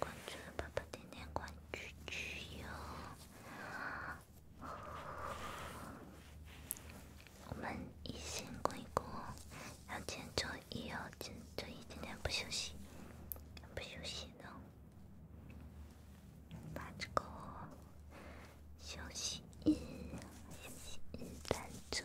关注，宝宝关注，我们一心公益，要坚守一月，坚守一整天不休息，不休息呢。把这个休息休息一分钟。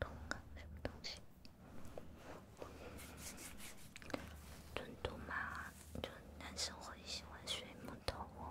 动感那东西，印度嘛，就男生很喜欢水木头哦。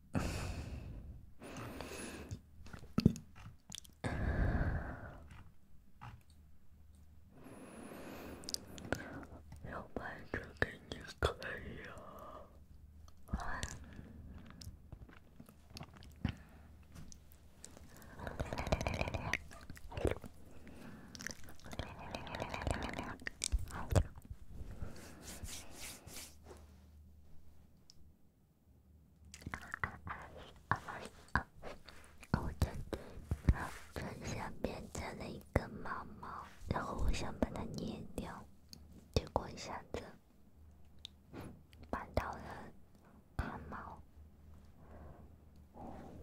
要拍着给你看呀！六六六六六六，六我的嘴巴下面长了一根毛毛，然后我想把它捏掉，结果一下子把到了汗毛。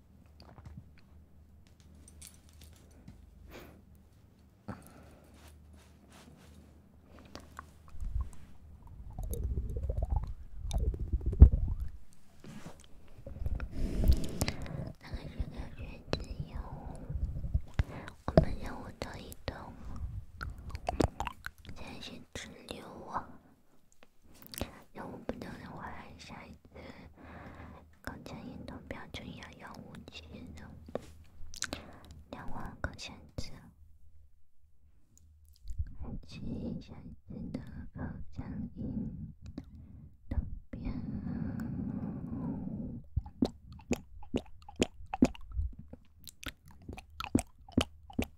那个是两只鹦鹉，我们鹦鹉到一栋吗？再去吃牛啊。两万五千人，我还下一次口腔运动标准要两万七千人，两万个箱子，还记一下子的口腔运动标准。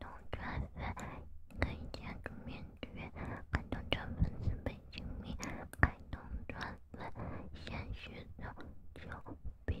弄船粉，可以借助面具；看弄船粉，准备揭秘。看弄船粉，先寻找酒瓶。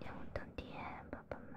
夜无灯点，宝宝们。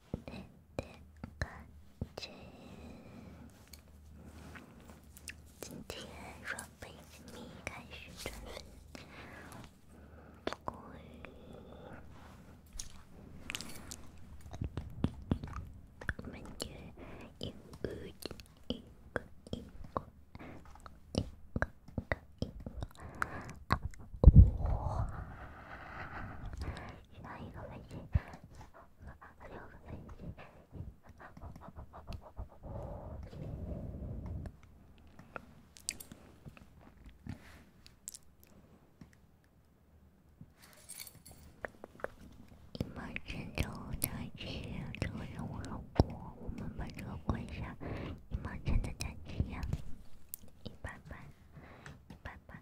那个，今天准备米开始准备，不过他们就一个一个一个一个一个一个啊！我。选一个飞机，六个飞机。一毛钱的战机，这个任务好过，我们把这个关下。一毛钱的战机呀，一般般，一般般。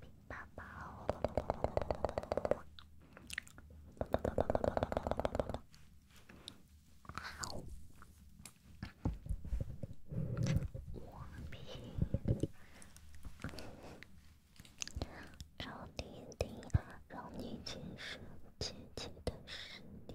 皮宝宝，好，我皮，让你听，让你见识姐姐的实力。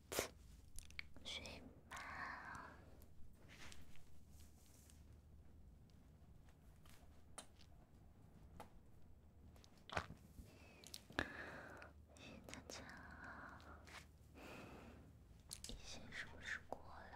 睡吧，亲亲。时间是不是过了？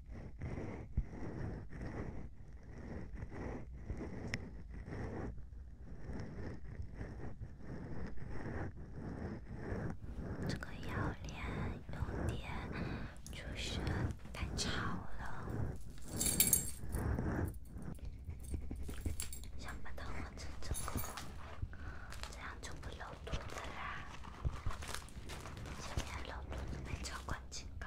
这个药店有点，就是太吵了。想把它换成这个，这样就不露肚子啦。前面露肚子没交关警告。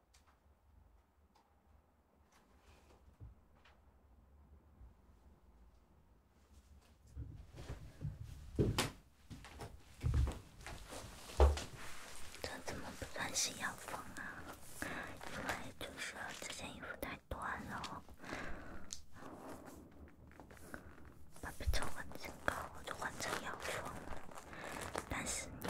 这怎么不算是腰封啊？因为就是这件衣服太短了，把被超过身高，我就换成腰封。但是你……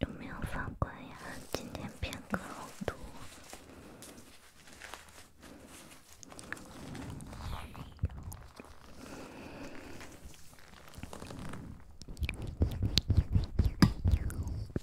有没有法官呀？今天偏科好多。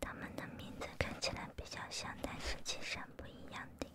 他们的名字看起来比较像，但实际上不一样的哟。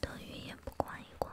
德云也不管一管，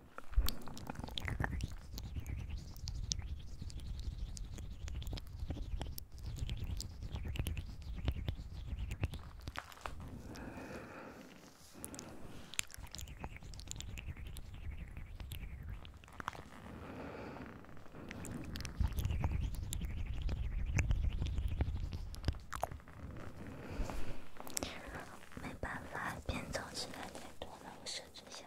没办法，编造起来太多了，我设置下。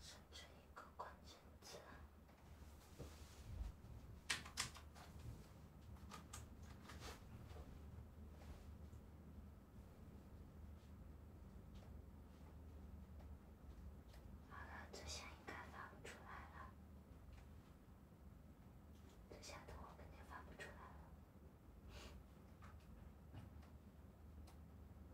设置一个关键字。好了，这下应该发不出来了。这下都我肯定发不出来了。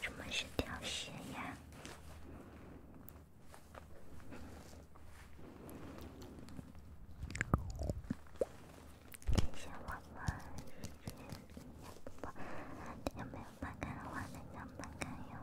什么是挑食呀？你想玩吗？是是，你要不？有没有翻开的话，能不能看呀？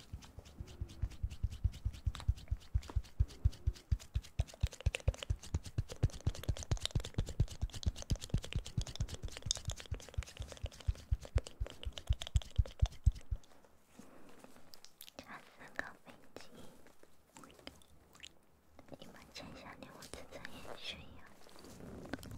三个飞机，你们接下来我正在演谁呀？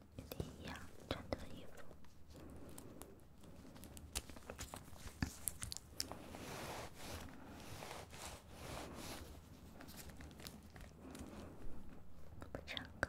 有点一样，穿的衣服。不唱歌。